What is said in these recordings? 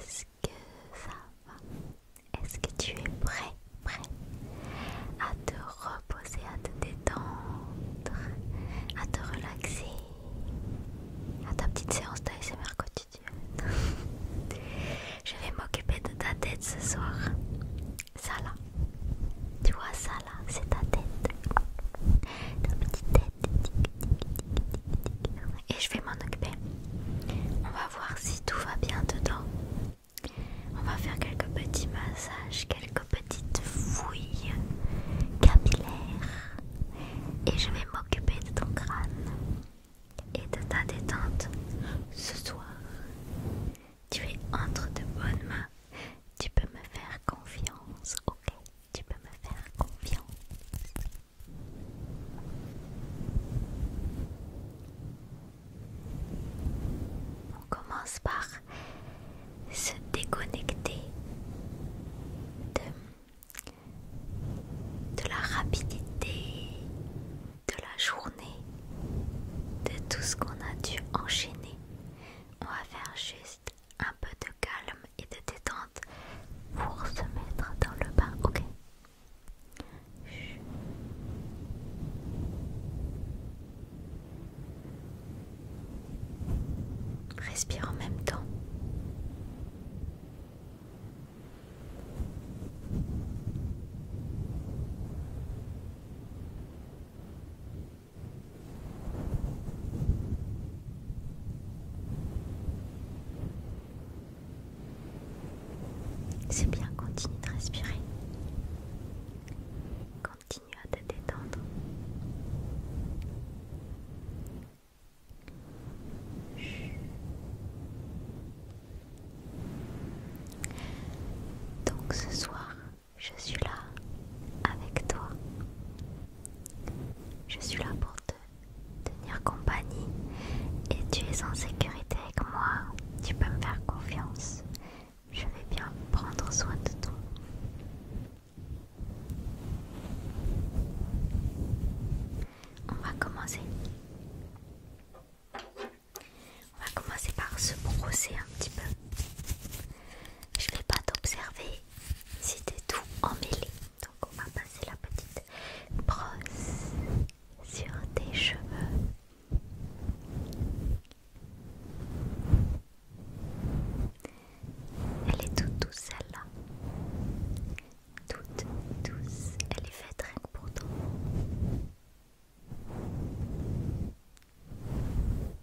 Est-ce que ça va Est-ce que tu es prêt, prêt à te reposer, à te détendre, à te relaxer, à ta petite séance d'ASMR quotidienne Je vais m'occuper de ta tête ce soir. Ça là, tu vois ça là, c'est ta tête. Ta petite tête. Et je vais m'en occuper. On va voir si tout va bien dedans. On va faire quelques petits massages, quelques petites fouilles capillaires. Et je vais m'occuper de ton crâne et de ta détente ce soir. Tu es entre de bonnes mains. Tu peux me faire confiance, ok tu peux me faire confiance. On commence par se déconnecter de, la rapidité de la journée, de tout ce qu'on a dû enchaîner. On va faire juste un peu de calme et de détente pour se mettre dans le bain, ok Respire en même temps. C'est bien, continue de respirer. Continue à te détendre. Donc ce soir, je suis là avec toi je suis là pour te tenir compagnie et tu es en sécurité avec moi. Tu peux me faire confiance. Je vais bien prendre soin de toi. On va commencer. On va commencer par se brosser un petit peu. Je ne vais pas t'observer c'était tout emmêlé. Donc on va passer la petite brosse sur tes cheveux. Elle est toute douce là Toute douce. Elle est faite très pour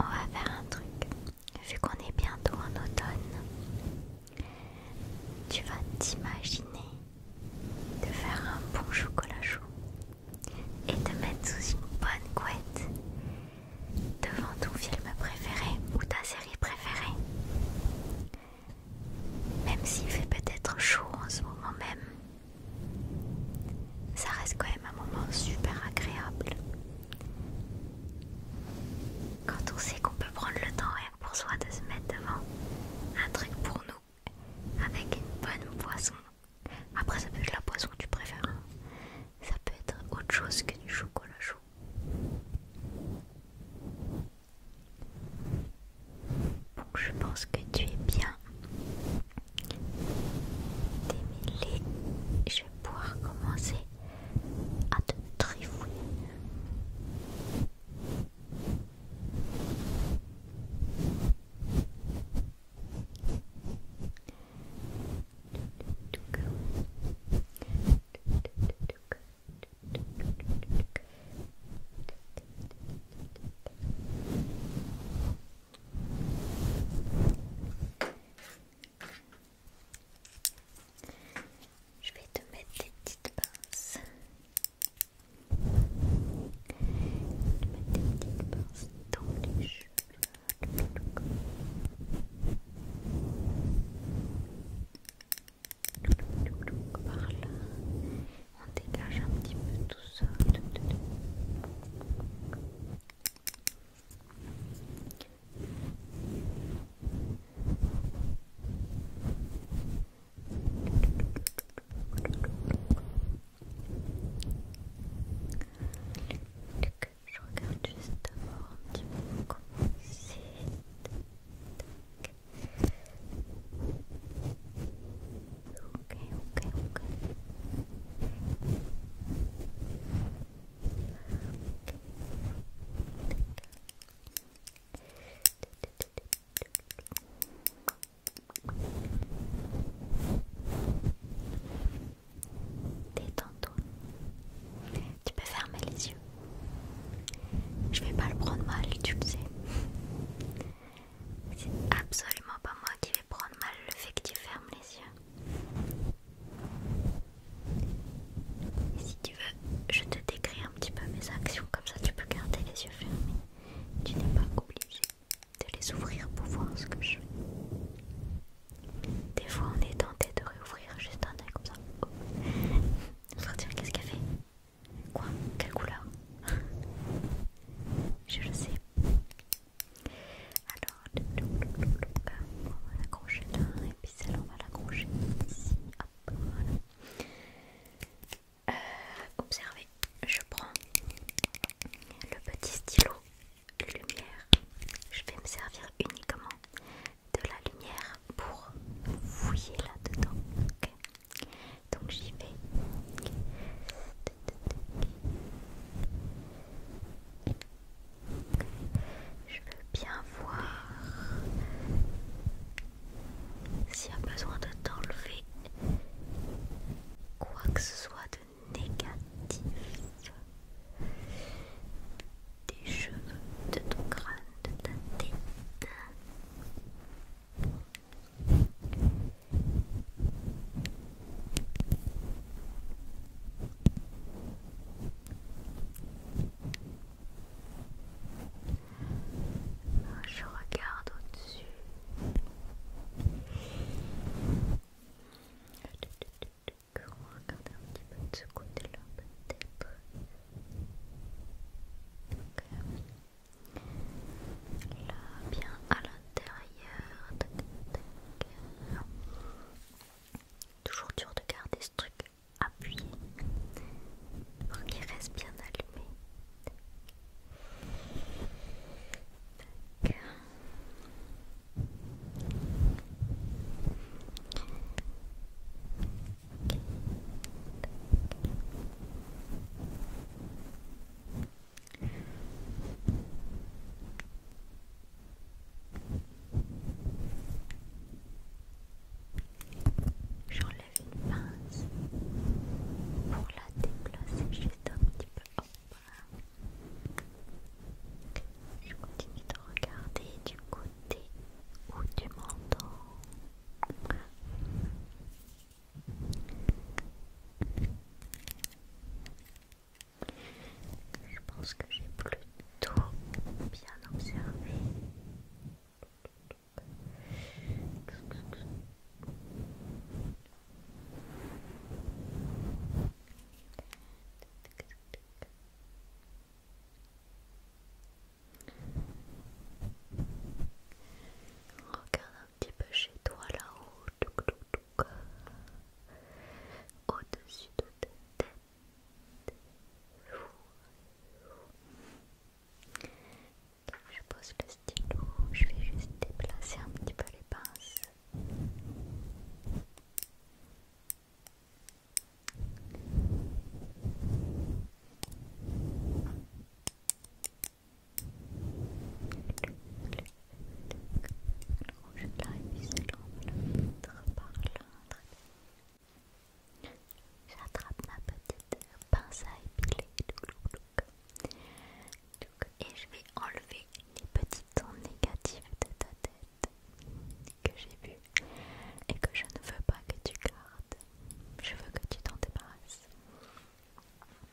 On va faire un truc. Vu qu'on est bientôt en automne, tu vas t'imaginer de faire un bon chocolat chaud et te mettre sous une bonne couette devant ton film préféré ou ta série préférée. Même s'il fait peut-être chaud en ce moment même, ça reste quand même un moment super agréable. Quand on sait qu'on peut prendre le temps rien que pour soi de se mettre devant un truc pour nous avec une bonne boisson. Après ça peut être la boisson que tu préfères. Hein. Ça peut être autre chose que du chocolat chaud. Bon, je pense que tu es bien des je vais pouvoir commencer à te trifouiller. Je vais te mettre des petites pinces. Je vais te mettre des petites pinces dans les cheveux. Par là, on dégage un petit peu tout ça. Je regarde juste d'abord un petit peu c'est. Ok, ok, ok Détends-toi. Tu peux fermer les yeux. Je vais pas le prendre mal, tu le sais. C'est absolument pas moi qui vais prendre mal le fait que tu fermes les yeux. si tu veux, je te décris un petit peu mes actions, comme ça tu peux garder les yeux fermés. Tu n'es pas obligé de les ouvrir pour voir ce que je fais. Des fois, on est tenté de réouvrir juste un œil comme ça. Oh. te qu'est-ce qu'elle fait Quoi Quelle couleur Je le sais. Alors, on va l'accrocher là, et puis celle-là, on va l'accrocher ici. Hop, voilà. Euh, observez, je prends le petit stylo lumière. Je vais me servir uniquement de la lumière pour fouiller là-dedans. Donc j'y vais. Je veux bien voir s'il y a besoin de t'enlever quoi que ce soit de négatif des cheveux de ton crâne, de ta tête. Je regarde au-dessus. On va regarder un petit peu de ce côté-là peut-être. Là, bien à l'intérieur. Toujours dur de garder ce truc appuyé pour qu'il reste bien allumé. J'enlève une pince pour la déplacer juste un petit peu. Je continue de regarder du côté où tu m'entends. Je pense que j'ai plutôt bien observé. Regarde un petit peu chez toi là-haut, au-dessus de ta tête. je pose le stylo, je vais juste déplacer un petit peu les pinces. Je par J'attrape ma petite pince à épiler et je vais enlever les petits tons négatifs de ta tête que j'ai vus et que je ne veux pas que tu gardes. Je veux que tu t'en débarrasses.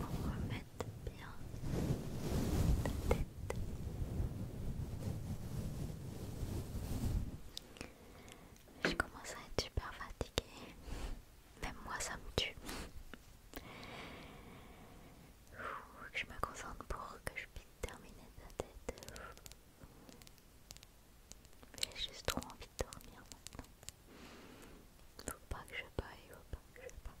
On remettre bien ta tête. Je commence à être super fatiguée. Même moi, ça me tue. Je me concentre pour que je puisse terminer ta tête. J'ai juste trop envie de dormir maintenant. Faut pas que je baille, faut pas que je baille.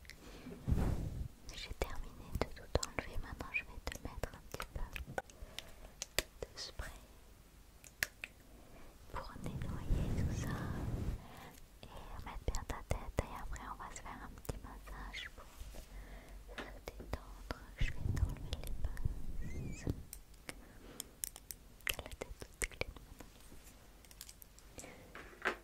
J'ai terminé de tout enlever, maintenant je vais te mettre un petit peu de spray pour nettoyer tout ça et mettre bien ta tête et après on va se faire un petit massage pour se détendre. Je vais t'enlever les pinces. la tête